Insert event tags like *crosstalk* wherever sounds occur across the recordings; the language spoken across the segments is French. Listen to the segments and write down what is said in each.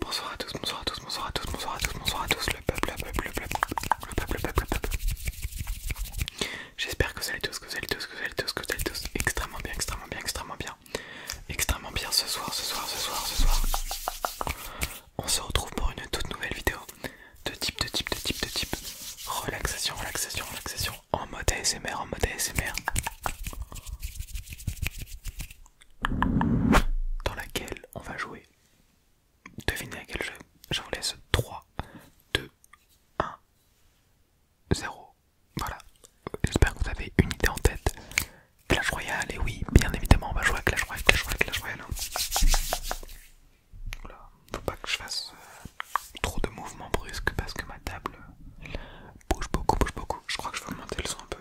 Bonsoir à tous, bonsoir à tous, bonsoir à tous, bonsoir à tous, bonsoir à tous, le peuple, peuple, J'espère que vous allez tous, que vous allez tous, que vous allez tous, que vous allez tous extrêmement bien, extrêmement bien, extrêmement bien, extrêmement bien ce soir, ce soir, ce soir, ce soir. On se retrouve pour une toute nouvelle vidéo de type, de type, de type, de type relaxation, relaxation, relaxation en mode ASMR, en mode ASMR dans laquelle on va jouer. Devinez à quel jeu. Je vous laisse 3, 2, 1, 0. Voilà. J'espère que vous avez une idée en tête. Clash Royale, et oui, bien évidemment, on va jouer à Clash Royale, Clash Royale, Clash Royale. Voilà. Hein. faut pas que je fasse euh, trop de mouvements brusques parce que ma table bouge beaucoup, bouge beaucoup. Je crois que je vais augmenter le son un peu.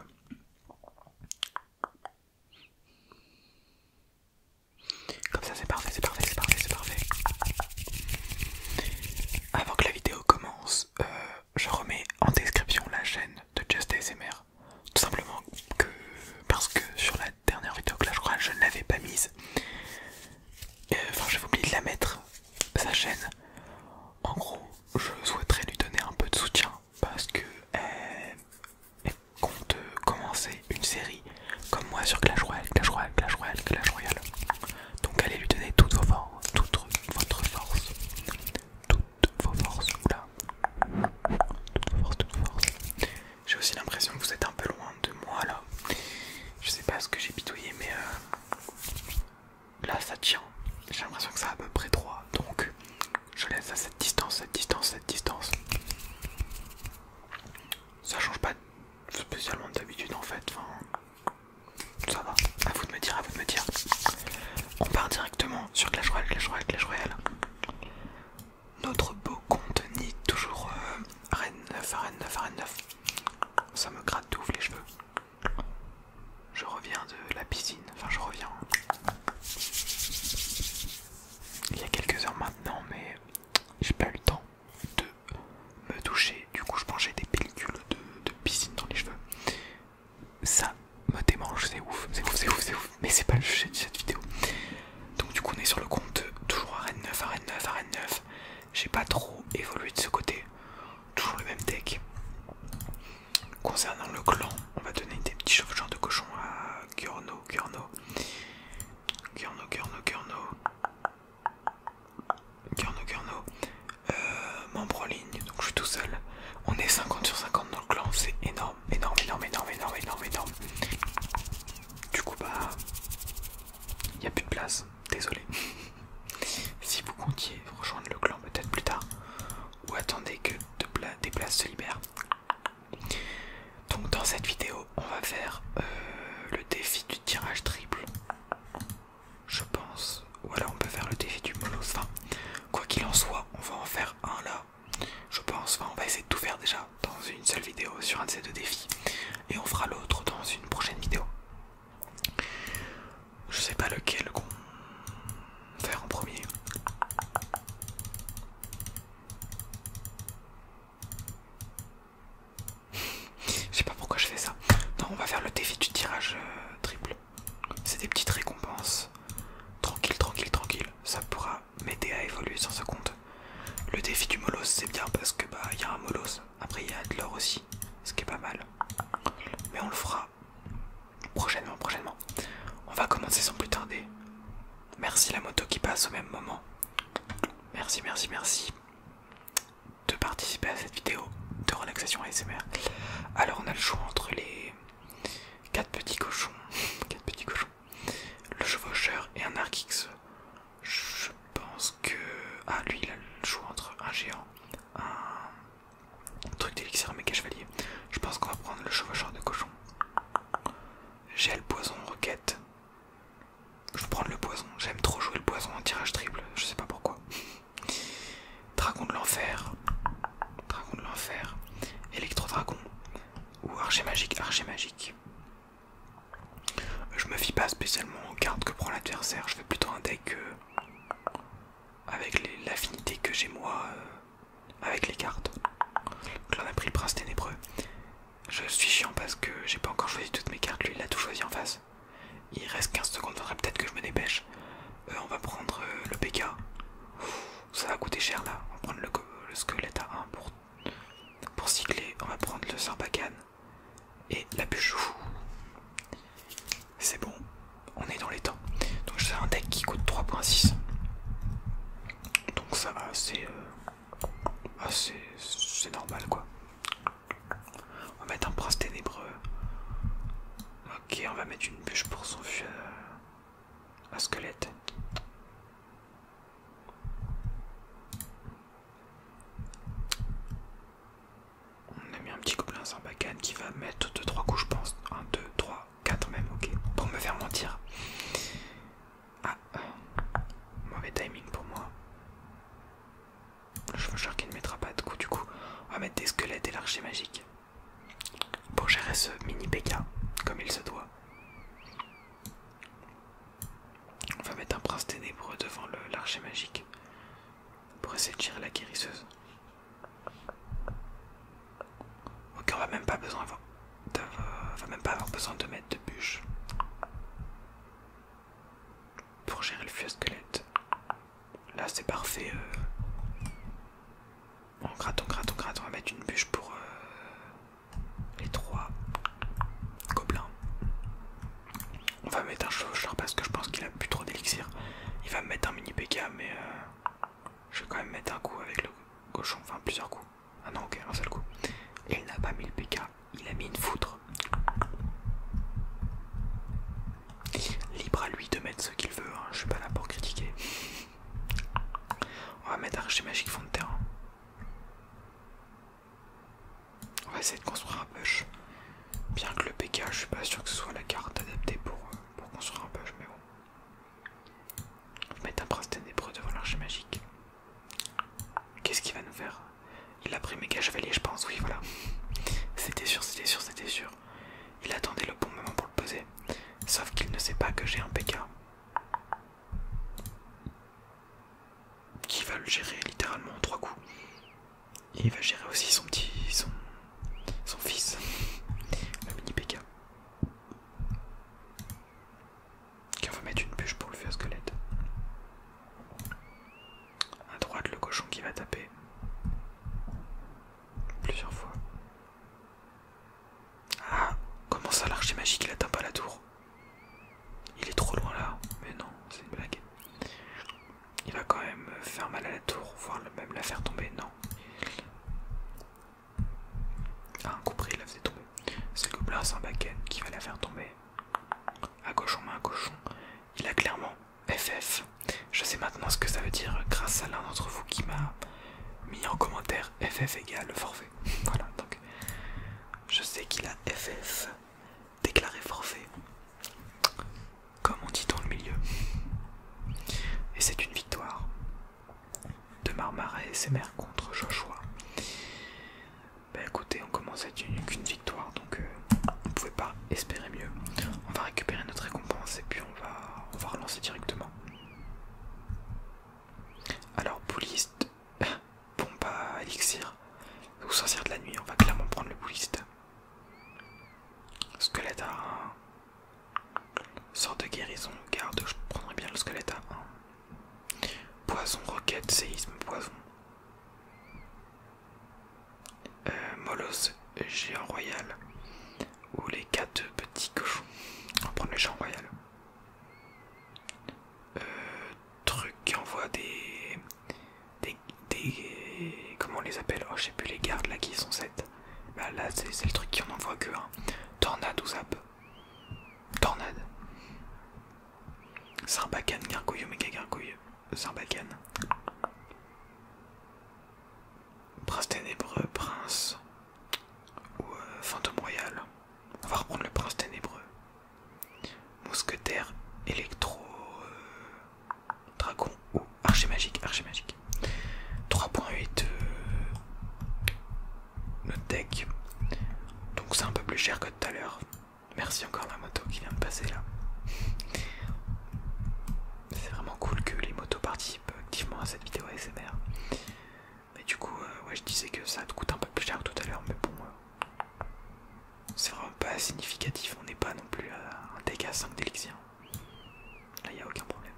Comme ça c'est parfait, c'est parfait, c'est parfait, c'est parfait. Avant que la vidéo commence, euh, je remets en description la chaîne de Just ASMR. Tout simplement que parce que sur la dernière vidéo que je crois je ne l'avais pas mise. Euh, enfin j'ai j'avais oublié de la mettre, sa chaîne en gros, je souhaiterais lui donner un peu de soutien parce que elle, compte commencer une série comme moi sur Clash Royale, Clash Royale, Clash Royale, Clash Royale. Donc allez lui donner toutes vos forces, toute votre force, toutes vos forces, toutes toutes forces. J'ai aussi l'impression que vous êtes un peu loin de moi là. Je sais pas ce que j'ai pitoyé mais euh, Là ça tient, j'ai l'impression que ça à peu près droit, donc je laisse à cette distance, cette distance, cette distance. Ça change pas spécialement d'habitude en fait, enfin, ça va, à vous de me dire, à vous de me dire. On part directement sur Clash Royale, Clash Royale, Clash Royale. Notre beau compte toujours arène 9, r 9, r 9. Ça me gratte les cheveux. Je reviens de la piscine, enfin je reviens il y a quelques heures maintenant, mais j'ai pas eu le temps de me toucher. Du coup, je mangeais des pellicules de, piscine dans les cheveux. Ça me démange, c'est ouf, c'est ouf, c'est ouf, c'est ouf. Mais c'est pas le sujet de cette vidéo. Donc, du coup, on est sur le compte toujours arène 9, arène 9, arène 9. J'ai pas trop évolué de ce côté toujours les même deck. Concernant le clan, on va donner des petits genre de cochon à Gurno, Gurno, Gurno, Gurno, Gurno, Gurno, euh, membre en ligne, donc je suis tout seul. On est 50 sur 50 dans le clan, c'est énorme, énorme, énorme, énorme, énorme, énorme, Du coup, bah, il n'y a plus de place désolé. *laughs* si vous comptiez rejoindre le clan peut-être plus tard, ou attendez que des places se libèrent. Donc dans cette vidéo, on va faire euh, le défi du tirage triple, je pense. Ou alors on peut faire le défi du monos. Enfin, quoi qu'il en soit, on va en faire un là. Je pense, enfin on va essayer de tout faire déjà dans une seule vidéo sur un de ces deux défis et on fera l'autre dans une prochaine vidéo. Je sais pas lequel qu'on faire en premier. *laughs* je sais pas pourquoi je fais ça. Non, on va faire le défi du tirage euh, triple. C'est des petites récompenses. Tranquille, tranquille, tranquille. Ça pourra m'aider à évoluer sur ce compte. Le défi du molos, c'est bien parce que bah il y a un molos. Après il y a de l'or aussi ce qui est pas mal. Mais on le fera prochainement, prochainement. On va commencer sans plus tarder. Merci la moto qui passe au même moment. Merci, merci, merci de participer à cette vidéo de relaxation ASMR. Alors on a le choix entre les quatre petits cochons, *laughs* petits cochons, le chevaucheur et un arc Je pense que ah lui il a le choix entre un géant un truc d'élixir mes chevalier. Je pense qu'on va prendre le chevaucheur de cochon. Gel poison requête Je vais prendre le poison. J'aime trop jouer le poison en tirage triple. Je sais pas pourquoi. Dragon de l'enfer. Dragon de l'enfer. Électro-dragon. Ou archer magique. Archer magique. Je me fie pas spécialement aux cartes que prend l'adversaire. Je fais plutôt un deck. Euh, avec l'affinité que j'ai moi euh, avec les cartes. Donc là on a pris le prince ténébreux. Je suis chiant parce que j'ai pas encore choisi toutes mes cartes, lui il a tout choisi en face. Il reste 15 secondes, faudrait peut-être que je me dépêche. Euh, on va prendre euh, le PK. Ça va coûter cher là. On va prendre le, squelette à 1 pour, pour cycler. On va prendre le Sarpakan et la bûche. C'est bon, on est dans les temps. Donc je un deck qui coûte 3.6. Donc ça va, euh, c'est normal quoi. On va mettre un prince ténébreux. Ok, on va mettre une bûche pour son un un euh, squelette. On a mis un petit sans bacane qui va mettre 2 trois coups, je pense. 1, 2, 3, 4 même, ok. Pour me faire mentir. Ah, euh, mauvais timing pour moi. Le chevaucheur qui ne mettra pas de coups du coup, on va mettre des squelettes et l'archer magique. Pour gérer ce mini PK, comme il se doit. On va mettre un prince ténébreux devant l'archer magique pour essayer de tirer la guérisseuse. Ok, on va même pas besoin avoir va même pas avoir besoin de mettre de bûche pour gérer le feu squelette. Là, c'est parfait. Euh. On gratte, on gratte, on gratte. On va mettre une bûche pour euh, les trois gobelins. On va mettre un chauffeur parce que je pense qu'il a plus trop d'élixir. Il va mettre un mini PK, mais euh, je vais quand même mettre un coup avec le cochon, enfin plusieurs coups. Ah non, ok, un seul coup. il n'a pas mis le PK, il a mis une foutre. Libre à lui de mettre ce qu'il veut, je hein, je suis pas là pour critiquer. On va mettre archer magique fond de terrain. On va essayer de construire un push. Bien que le PK, je suis pas sûr que ce soit la carte adaptée pour, euh, construire un push, mais bon. On mettre un prince ténébreux devant l'archer magique. Qu'est-ce qu'il va nous faire Il a pris méga chevalier, je pense, oui, voilà. C'était sûr, c'était sûr, c'était sûr. Il attendait le bon moment pour le poser. Sauf qu'il ne sait pas que j'ai un PK qui va le gérer littéralement en trois coups. Et il va gérer aussi son petit. son, fils, le mini PK. Qui va mettre une bûche pour le faire squelette. À droite, le cochon qui va taper plusieurs fois. Ah, comment ça l'archer magique il atteint pas la tour il est trop loin là, mais non, c'est une blague. Il va quand même faire mal à la tour, voire même la faire tomber, non. Ah, compris, il la faisait tomber. C'est le là c'est un qui va la faire tomber. À cochon, main à cochon. Il a clairement FF. Je sais maintenant ce que ça veut dire grâce à l'un d'entre vous qui m'a mis en commentaire FF égale forfait. *laughs* voilà, donc je sais qu'il a FF déclaré forfait, comme on dit dans le milieu. Et c'est une victoire de Marmara et ses mères contre Joshua. Ben écoutez, on commence à être une, victoire, donc euh, on pouvait pas espérer mieux. On va récupérer notre récompense et puis on va, on va relancer directement. Alors, Pouliste pompe à élixir ou sorcière de la nuit. On va clairement prendre le bouliste. Squelette à 1. Sort de guérison, garde, je prendrai bien le squelette à 1. Poison, roquette, séisme, poison. Euh, géant royal. Ou les quatre petits cochons. On va prendre le géant royal. Euh, truc qui envoie des, des, des comment on les appelle oh je sais plus les gardes là qui sont sept bah là c'est le truc qui en envoie que un tornade ou zap tornade sarbacane gargouille méga gargouille sarbacane prince ténébreux prince ou euh, fantôme royal on va reprendre le prince ténébreux Mousquetaire, électro, euh, dragon ou archer magique, archer magique. 3.8 euh, notre deck. Donc c'est un peu plus cher que tout à l'heure. Merci encore la moto qui vient de passer là. C'est vraiment cool que les motos participent activement à cette vidéo ASMR. Mais du coup, euh, ouais, je disais que ça te coûte un peu plus cher que tout à l'heure, mais bon, c'est vraiment pas significatif, on n'est pas non plus à un dégât 5 d'élixir. Là, il n'y a aucun problème.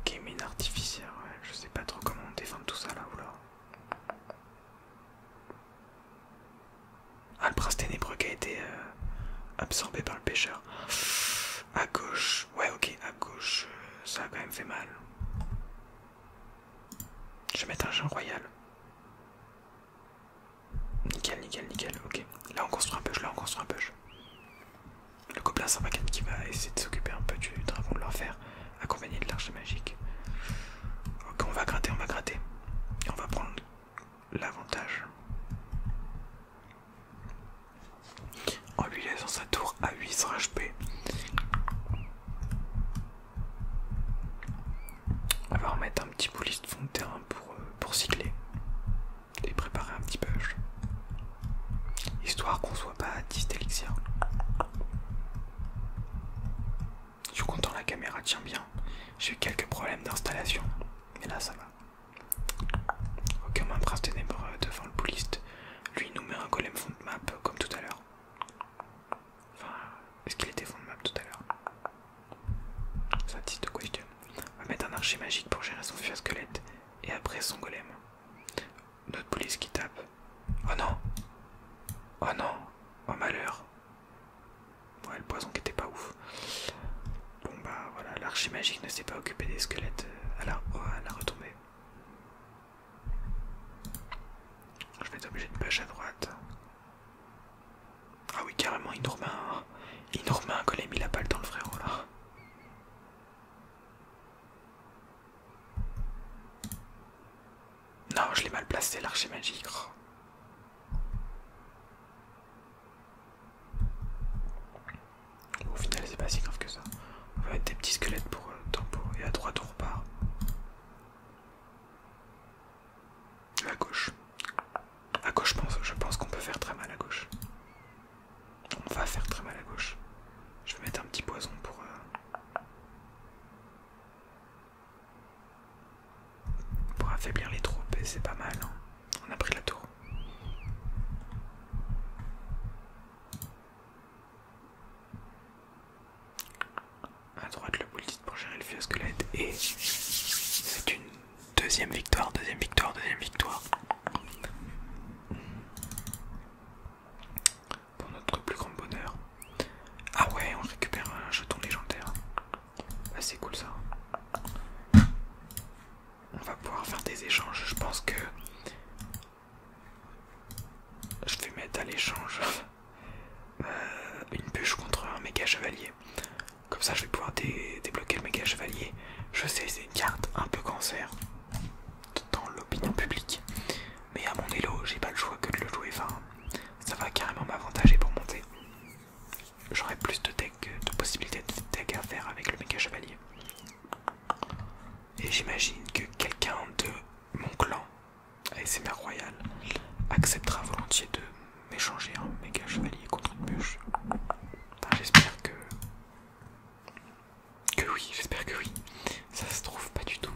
Ok, mine artificielle, je sais pas trop comment on tout ça là ou là. Ah, le prince ténébreux qui a été euh, absorbé par le pêcheur. À gauche, ouais, ok, à gauche, euh, ça a quand même fait mal. Je vais mettre un jeu royal. Nickel, nickel, nickel, ok. Là on construit un push, là on construit un push. Le gobelin 124 qui va essayer de s'occuper un peu du dragon de l'enfer, accompagné de l'arche magique. Ok, on va gratter, on va gratter. Et on va prendre l'avantage en oh, lui laissant sa tour à 8 HP. On va remettre un petit bouliste de fond de terrain euh, pour, cycler et préparer un petit push. Histoire qu'on soit pas à 10 Je suis content, la caméra tient bien. J'ai eu quelques problèmes d'installation, mais là ça va. Aucun okay, ténébreux euh, devant le bouliste. Lui, nous met un golem fond de map comme tout à l'heure. Enfin, est-ce qu'il était fond de map tout à l'heure Ça de question. On va mettre un archer magique pour gérer son à squelette et après son golem. Notre police qui tape. Oh non Oh non Oh malheur Ouais, le poison qui était pas ouf. Bon bah voilà, l'archer magique ne s'est pas occupé des squelettes euh, Alors, oh, à la retombée. Je vais être obligé de pêcher à droite. Ah oui, carrément, il nous remet un, il nous remet un il balle dans le frérot là. Non, je l'ai mal placé, l'archer magique. Oh. Au final, c'est pas si grave que ça. On va mettre des petits squelettes pour le euh, tempo. Et à droite, on repart. À gauche. À gauche, je pense, je pense qu'on peut faire très mal à gauche. On va faire très mal à gauche. Je vais mettre un petit poison pour. Euh, pour affaiblir les troupes, et c'est pas mal. Hein. On a pris la tour. A droite, le bullshit pour gérer le squelette Et c'est une deuxième victoire, deuxième victoire, deuxième victoire. Pour notre plus grand bonheur. Ah ouais, on récupère un jeton légendaire. c'est cool ça. On va pouvoir faire des échanges. Je pense que je vais mettre à l'échange euh, une bûche contre un méga chevalier. Comme ça, je vais pouvoir débloquer le méga chevalier. Je sais, c'est une carte un peu cancer dans l'opinion publique. Mais à mon élo, j'ai pas le choix que de le jouer. Enfin, ça va carrément m'avantager pour monter. J'aurai plus de, deck, de possibilités de deck à faire avec le méga chevalier. Et j'imagine que quelqu'un de mon clan, ASMR Royal, acceptera volontiers de m'échanger un méga chevalier contre une bûche. j'espère que. Que oui, j'espère que oui. Ça se trouve pas du tout.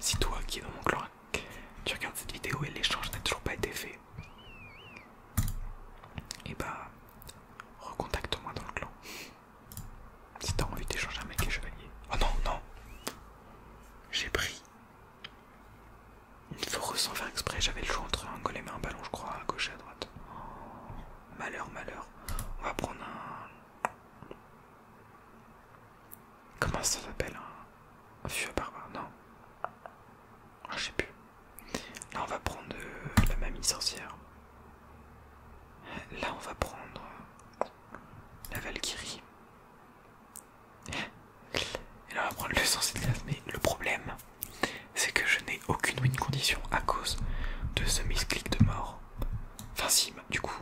Si toi qui es dans mon clan, tu regardes cette vidéo et l'échange n'a toujours pas été fait, et eh bah, ben, recontacte-moi dans le clan. Si t'as envie d'échanger mec les chevalier… Oh non, non J'ai pris. Il faut sans faire exprès, j'avais le choix entre un golem et un ballon, je crois, à gauche et à droite. malheur, malheur. On va prendre un. Comment ça s'appelle un... un à barbare Non. Ah, je sais plus. Là, on va prendre euh, la mamie sorcière. Là, on va prendre la Valkyrie. Et là, on va prendre le sens de Mais le problème, c'est que je n'ai aucune win condition à cause de ce misclick de mort. Enfin, si, bah, du coup,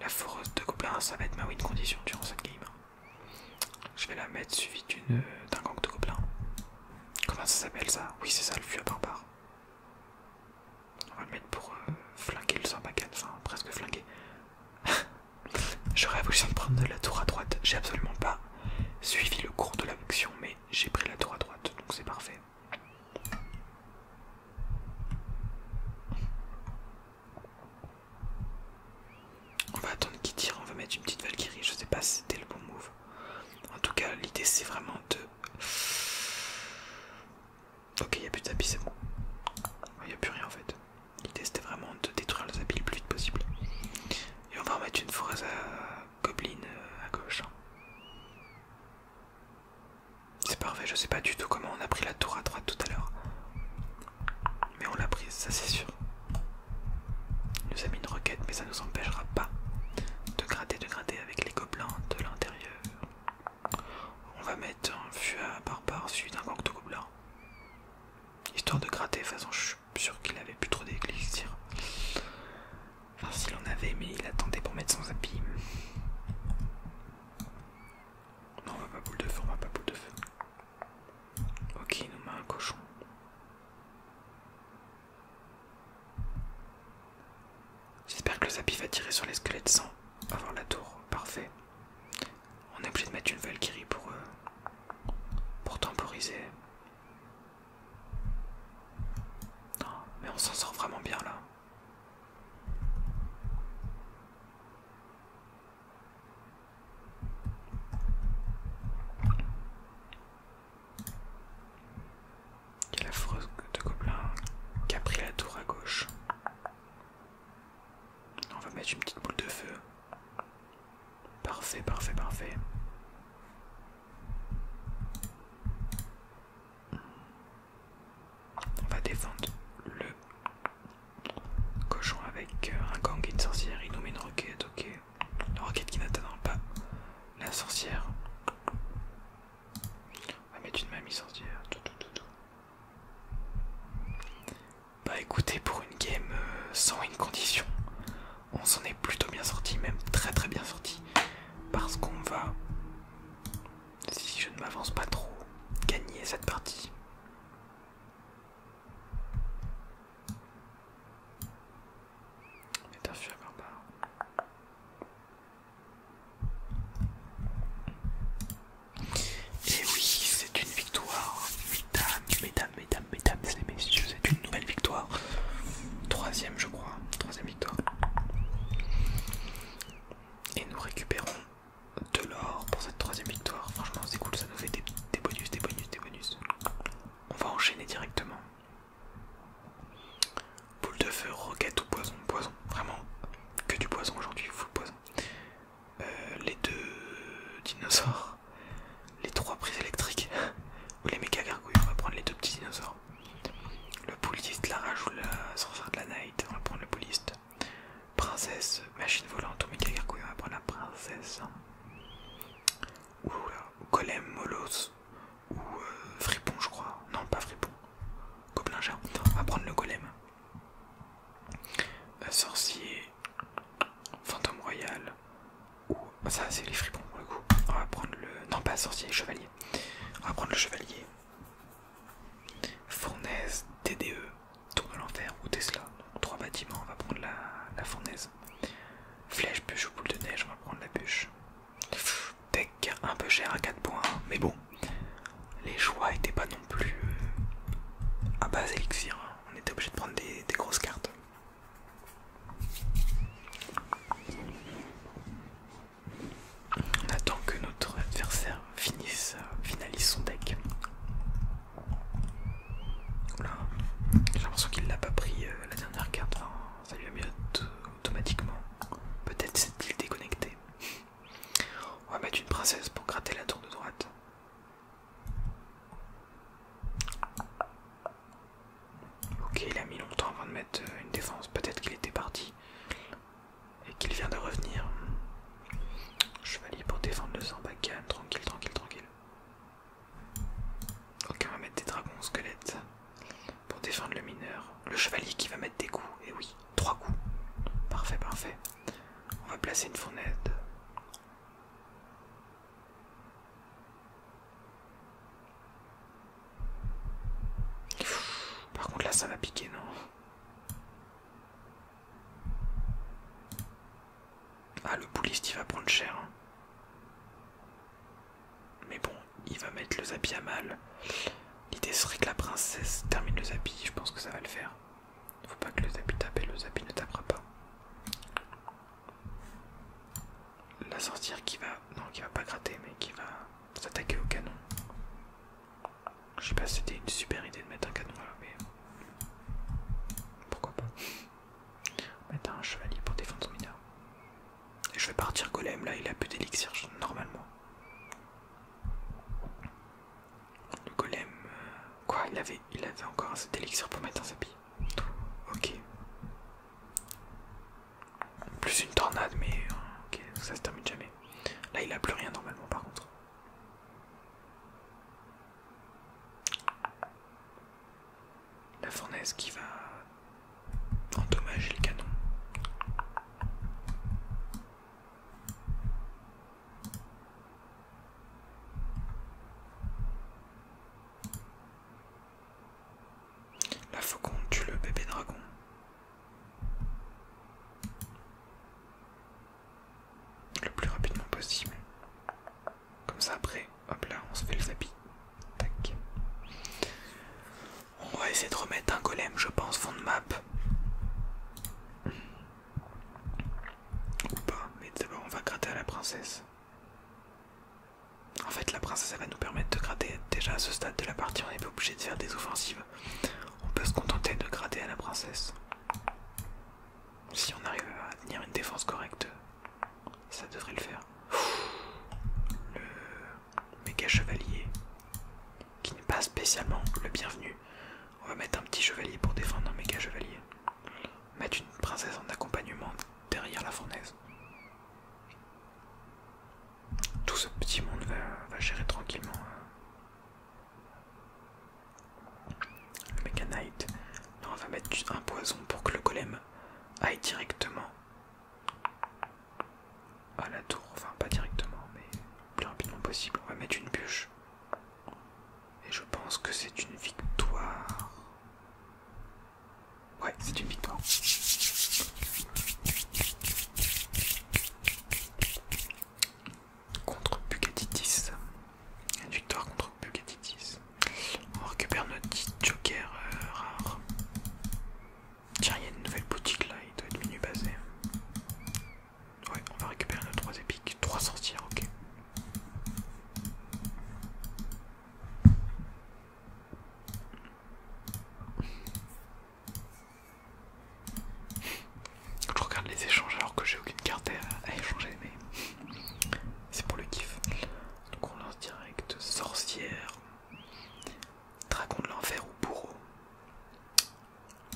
la foreuse de Gobelin, ça va être ma win condition durant cette game. Je vais la mettre suivie euh, d'un gang de Gobelins. Comment ça s'appelle ça Oui, c'est ça, le fût à on va le mettre pour euh, flinguer le Sarbacane, enfin presque flinguer. J'aurais *laughs* voulu de prendre la tour à droite. J'ai absolument pas suivi le cours de la l'action, mais j'ai pris la tour à droite, donc c'est parfait. On va attendre qu'il tire, on va mettre une petite Valkyrie, je sais pas si c'était le bon move. En tout cas, l'idée c'est vraiment de. Ok, il n'y a plus de tapis, c'est bon. Il n'y a plus rien en fait. L'idée c'était vraiment de détruire les tapis le plus vite possible. Et on va remettre une forêt à gobeline euh, à gauche. Hein. C'est parfait, je sais pas du tout comment on a pris la tour à droite tout à l'heure. Mais on l'a prise, ça c'est sûr. Il nous a mis une requête, mais ça nous empêchera pas de gratter, de gratter avec les gobelins de l'intérieur. On va mettre un par par suite d'un gang de gobelins. Histoire de gratter, de toute façon je suis sûr qu'il avait plus trop d'église. Enfin s'il en avait mais il attendait pour mettre son habit. Non on va pas boule de feu, on va pas boule de feu. Ok il nous met un cochon. J'espère que le zapi va tirer sur les squelettes sans avoir la tour. Parfait. On est obligé de mettre une Valkyrie pour, eux. pour temporiser. Non, mais on s'en sort vraiment bien là quelle la de Gobelin qui a pris la tour à gauche. On va mettre une petite boule de feu. Parfait, parfait, parfait. On va défendre le cochon avec un gang et une sorcière. Il nous met une roquette, ok. La roquette qui n'atteindra pas la sorcière. On va mettre une mamie sorcière. Bah écoutez, pour une game euh, sans une condition, on s'en est plutôt bien sorti, même très très bien sorti. Parce qu'on va, si je ne m'avance pas trop, gagner cette partie. Et eh oui, c'est une victoire, mesdames, mesdames, mesdames, mesdames mesdames, messieurs, c'est une nouvelle victoire. Troisième, je crois, troisième victoire. Et nous récupérons de l'or pour cette troisième victoire. Franchement, c'est cool, ça nous fait des bonus, des bonus, des bonus. On va enchaîner directement. Boule de feu, roquette ou poison Poison, vraiment que du poison aujourd'hui, full poison. Euh, les deux dinosaures, les trois prises électriques *laughs* ou les méga gargouilles, on va prendre les deux petits dinosaures. Le pouliste, la rage ou la sorcière de la night, on va prendre le pouliste. Princesse, machine volante ou méga gargouille, on va prendre la princesse ou euh, Golem Molos ou euh, Fripon je crois. Non pas Fripon. Gobelin On va prendre le Golem. Euh, sorcier. Fantôme royal. Ou ah, ça c'est les Fripons pour le coup. On va prendre le... Non pas sorcier, chevalier. On va prendre le chevalier. Fournaise TDE. Tour de l'enfer ou Tesla. trois bâtiments. On va prendre la fournaise. Flèche, bûche ou boule de neige, on va prendre la bûche. Deck un peu cher à 4 points, hein. mais bon, les choix étaient pas non plus à euh, base élixir. Hein. On était obligé de prendre des, grosses cartes. On attend que notre adversaire finisse, euh, finalise son deck. J'ai l'impression qu'il l'a pas pris euh, la Hein. ça lui a automatiquement. Peut-être s'est-il déconnecté. On va mettre une princesse pour gratter la tour de droite. Ok, il a mis longtemps avant de mettre euh, une défense. Peut-être qu'il était parti et qu'il vient de revenir. Chevalier pour défendre le Zambakan. Tranquille, tranquille, tranquille. Ok, on va mettre des dragons squelettes pour défendre le mineur. Le chevalier qui va mettre des coups, et eh oui, trois coups. Parfait, parfait. On va placer une fournaise. Par contre là ça va piquer non ah, le bouliste, il va prendre cher. Hein. Mais bon, il va mettre le zabi à mal. L'idée serait que la princesse termine le zabi. Je pense que ça va le faire. Faut pas que le zabi tape et le zabi ne tapera pas. La sorcière qui va... Non, qui va pas gratter, mais qui va s'attaquer au canon. Je sais pas si c'était une super idée de mettre un canon là, mais... Pourquoi pas Mettre un chevalier pour défendre son mineur. Et je vais partir golem là, il a plus d'élixir normalement. Le golem. Euh, quoi il avait, il avait encore assez d'élixir pour mettre un sapi. Ok. Plus une tornade, mais euh, ok, ça se termine jamais. Là il a plus rien normalement par contre. La fournaise qui va endommager le canon. La faucon tue le bébé dragon. Le plus rapidement possible. Comme ça après, hop là, on se fait le zapis. Tac. On va essayer de remettre un golem, je pense, fond de map. Ou pas, mais d'abord on va gratter à la princesse. En fait, la princesse elle va nous permettre de gratter. Déjà à ce stade de la partie, on n'est pas obligé de faire des offensives. On peut se contenter de gratter à la princesse. Si on arrive à tenir une défense correcte, ça devrait le faire. Le méga chevalier qui n'est pas spécialement le bienvenu. On va mettre un petit chevalier pour défendre un méga chevalier. Mettre une princesse en accompagnement derrière la fournaise. Tout ce petit monde va, va gérer tranquillement hein le on va mettre un poison pour que le golem aille directement à la tour. Enfin, pas directement, mais le plus rapidement possible. On va mettre une bûche. Et je pense que c'est une victoire. Ouais, c'est une victoire. Contre Pugatitis. Une victoire contre Bugatitis. On récupère notre petit joker euh, rare. Tiens, il y a une nouvelle boutique là, il doit être menu basé. Ouais, on va récupérer nos 3 épiques. 3 sorcières, ok. Je regarde les échanges alors que j'ai aucune carte à échanger, mais c'est pour le kiff. Donc on lance direct sorcière, dragon de l'enfer ou bourreau.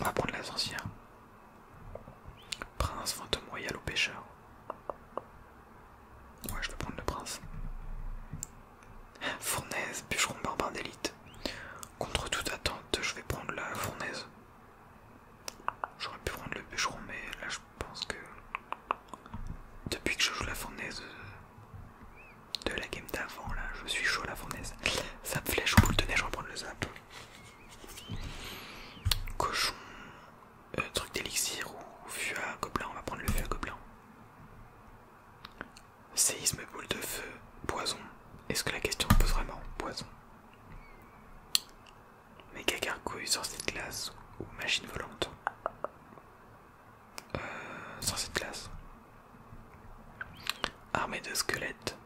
On va prendre la sorcière. Prince, vente royal ou pêcheur. Ouais, je vais prendre le prince. Fournaise, bûcheron barbare d'élite. Contre toute attente, je vais prendre la fournaise. J'aurais pu prendre le bûcheron, mais là je pense que depuis que je joue la fournaise euh, de la game d'avant, là je suis chaud à la fournaise. Zap flèche, ou boule de neige, je vais prendre le zap. Cochon, euh, truc d'élixir ou fût à gobelin, on va prendre le fût à gobelin. Séisme, boule de feu, poison. Est-ce que la question pose vraiment poison méga gargouille, sorcier de glace ou machine volante. Euh, sorcier de glace. Armée de squelettes.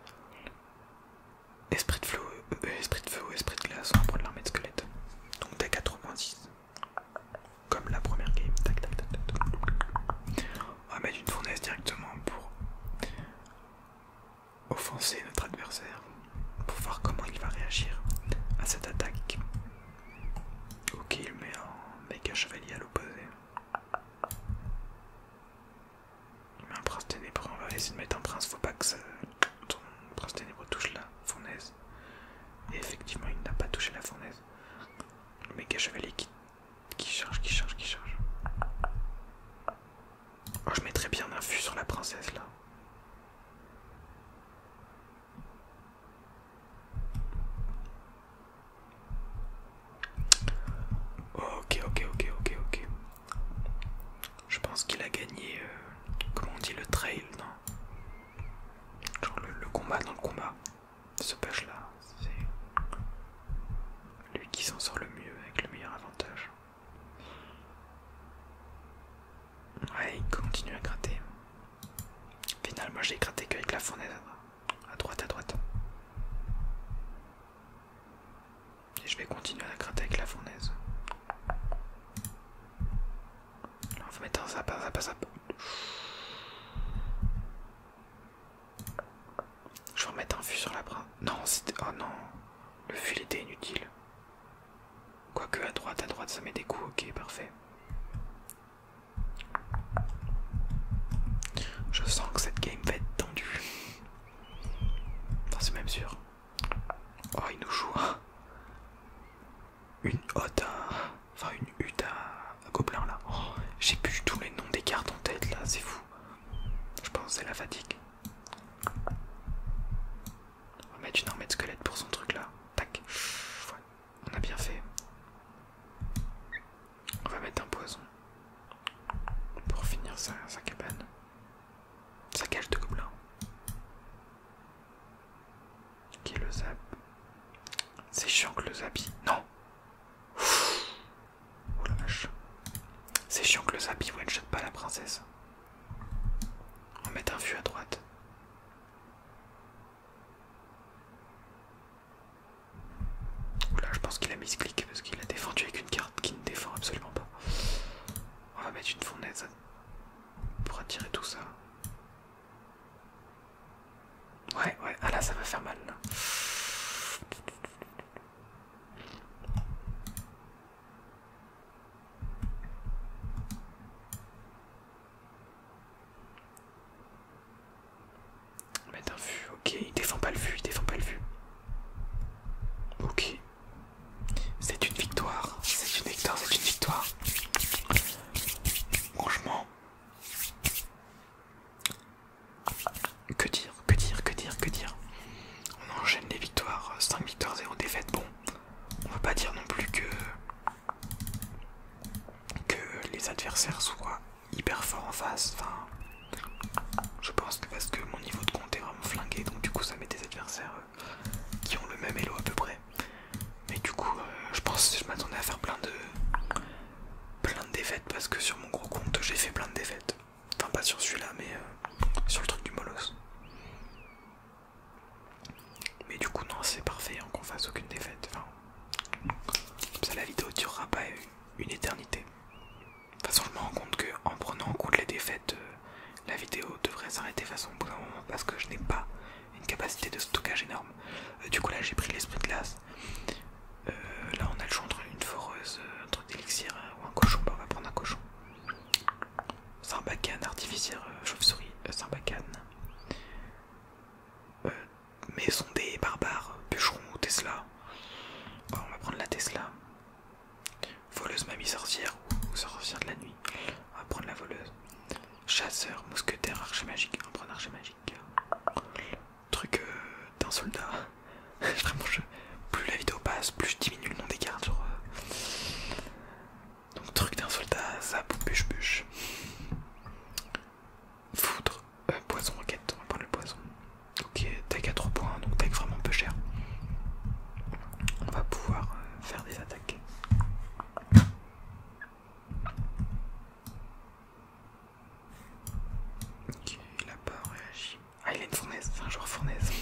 Esprit de feu, euh, euh, esprit de feu ou esprit de glace, on va prendre l'armée de squelette. Donc deck moins 10, Comme la première game. On va mettre une fournaise directement pour offenser notre adversaire pour voir comment il va réagir à cette attaque. Ok, il met un méga chevalier à l'opposé. Il met un prince ténébreux, on va essayer de mettre un prince, faut pas que son prince ténébreux touche la fournaise. Et effectivement, il n'a pas touché la fournaise. Le méga chevalier qui charge, qui charge, qui charge. Oh, je mettrais bien un fût sur la princesse là. Ok, ok, ok, ok, ok. Je pense qu'il a gagné, euh, comment on dit, le trail, non Genre le, combat dans le combat. Ce patch là, c'est lui qui s'en sort le mieux avec le meilleur avantage. Ouais, continue à gratter. Finalement, j'ai gratté qu'avec la fournaise à droite, à droite. Et je vais continuer à gratter avec la fournaise. on va mettre un zap, Je vais remettre un fût sur la bras. Non, c'était. Oh non, le fût était inutile. Quoique à droite, à droite ça met des coups, ok parfait. Je sens que cette game va être tendue. Enfin, c'est même sûr. Oh, il nous joue une hotte, enfin une hutte à, là. Oh, j'ai plus tous les noms des cartes en tête là, c'est fou. Je pense c'est la fatigue. On va mettre une armée de squelette pour son truc là. Tac. On a bien fait. On va mettre un poison. Pour finir sa, cabane. Sa cage de gobelins. Qui est le zap C'est chiant que le zapi. Non oh C'est chiant que le zapi ne shot pas la princesse. On va mettre un fût à droite. Oula, je pense qu'il a mis clic parce qu'il a défendu avec une carte qui ne défend absolument pas. On va mettre une fournaise pour attirer tout ça. Ouais, ouais, ah là ça va faire mal Mettre un vu, ok, il défend pas le vu, il défend pas le vu. Ok. C'est une victoire, c'est une victoire, c'est une victoire. Franchement. Que dire, que dire, que dire, que dire on enchaîne les victoires, 5 euh, victoires, 0 défaites. Bon, on peut pas dire non plus que, que les adversaires soient hyper forts en face. Enfin, je pense que parce que mon niveau de compte est vraiment flingué, donc du coup ça met des adversaires euh, qui ont le même elo à peu près. Mais du coup, euh, je pense que je m'attendais à faire plein de plein de défaites parce que sur mon gros compte j'ai fait plein de défaites. Enfin, pas sur celui-là, mais euh, sur le truc du Molos. Mais du coup, non, c'est parfait hein, qu'on fasse aucune défaite. comme ça, la vidéo durera pas une éternité. De toute façon, je me rends compte qu'en prenant en compte les défaites, euh, la vidéo devrait s'arrêter de façon au bout moment parce que je n'ai pas une capacité de stockage énorme. Euh, du coup, là, j'ai pris l'esprit de glace. là, on a le choix entre une foreuse, un truc d'élixir ou un cochon. on va prendre un cochon. Symbacane, artificière euh, chauve-souris, euh, symbacane. Euh, des barbares, bûcheron, ou Tesla. on va prendre la Tesla. Voleuse, mamie, sorcière ou sorcière de la nuit. On va prendre la voleuse. Chasseur, mousquetaire, archer magique. On prend prendre archer magique. Truc d'un soldat. *laughs* plus la vidéo passe, plus je diminue le nombre des cartes. Euh. Donc, truc d'un soldat, ça bûche-bûche. Foudre, euh, poison, roquette, on va prendre le poison. Ok, deck à 3 points, donc deck vraiment peu cher. On va pouvoir euh, faire des attaques. Ok, il a pas réagi. Ah, il a une fournaise, c'est un joueur fournaise.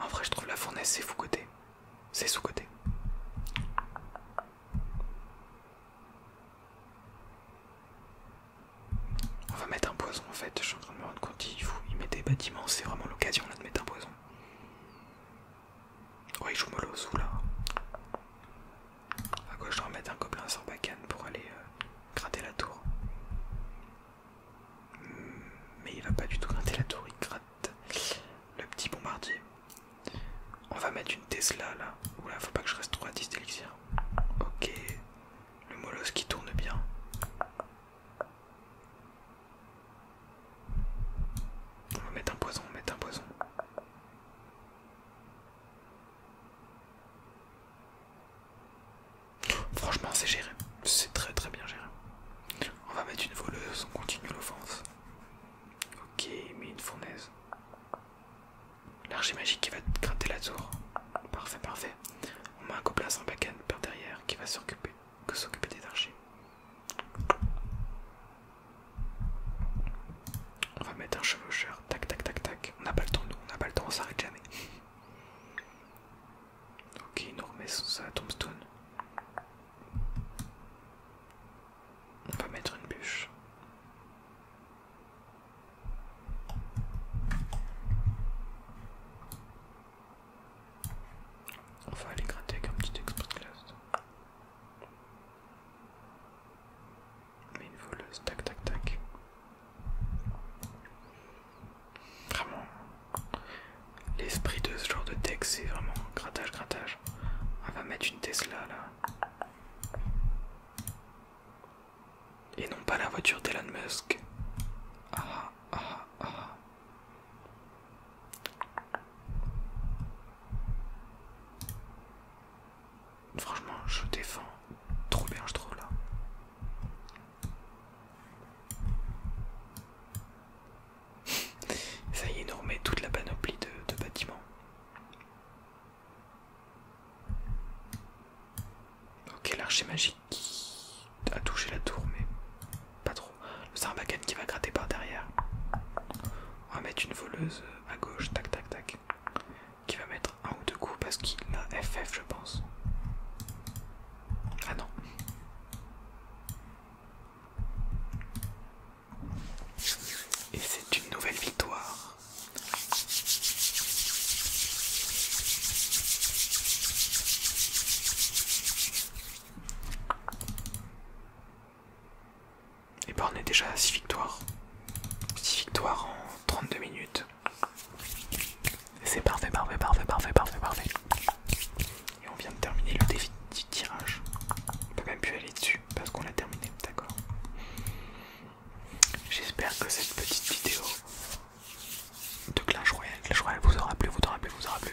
En vrai, je trouve la fournaise, c'est sous-côté. C'est sous-côté. On va mettre un poison en fait, je suis en train de me rendre compte qu'il met des bâtiments, c'est vraiment l'occasion là de mettre un poison. Ouais il joue mollo sous là. À quoi je dois mettre un copain sur bacane pour aller euh, gratter la tour. Mais il va pas du tout gratter la tour, il gratte le petit bombardier. On va mettre une Tesla là. Oula, faut pas que je reste trop à 10 d'élixir. Ok, le molos qui tourne bien. On va mettre un poison, on va mettre un poison. Franchement, c'est géré. C'est très très bien géré. On va mettre une voleuse, on continue l'offense. Ok, mais une fournaise. L'archer magique qui va gratter la tour. Parfait, parfait. On met un copain par derrière qui va s'occuper que s'occuper des archers. On va mettre un chevaucheur. Tac, tac, tac, tac. On n'a pas le temps, nous. On n'a pas le temps, on s'arrête jamais. Ok, nous remettons ça à Tombstone. On va mettre une bûche. On va aller gratter avec un petit expert class. Mais une voleuse, tac tac tac. Vraiment, l'esprit de ce genre de texte, c'est vraiment grattage, grattage. On va mettre une Tesla là. Et non pas la voiture d'Elon Musk. Ah ah ah. Franchement, je défends trop bien, je trouve là. *laughs* Ça y est, nous toute la panoplie de, bâtiments. Ok, l'archer magique qui a touché la tour, mais pas trop. Le Sarbacan qui va gratter par derrière. On va mettre une voleuse à gauche, tac tac tac qui va mettre un ou deux coups parce qu'il a FF je pense. Ah non. Et c'est une nouvelle victoire. Et bah ben on est déjà à 6 victoires. 6 victoires en 32 minutes. C'est parfait, parfait, parfait, parfait, parfait, parfait. Et on vient de terminer le défi du tirage. On peut même plus aller dessus parce qu'on l'a terminé, d'accord J'espère que cette petite vidéo de Clash Royale, Clash Royale vous aura plu, vous aura plu, vous aura plu.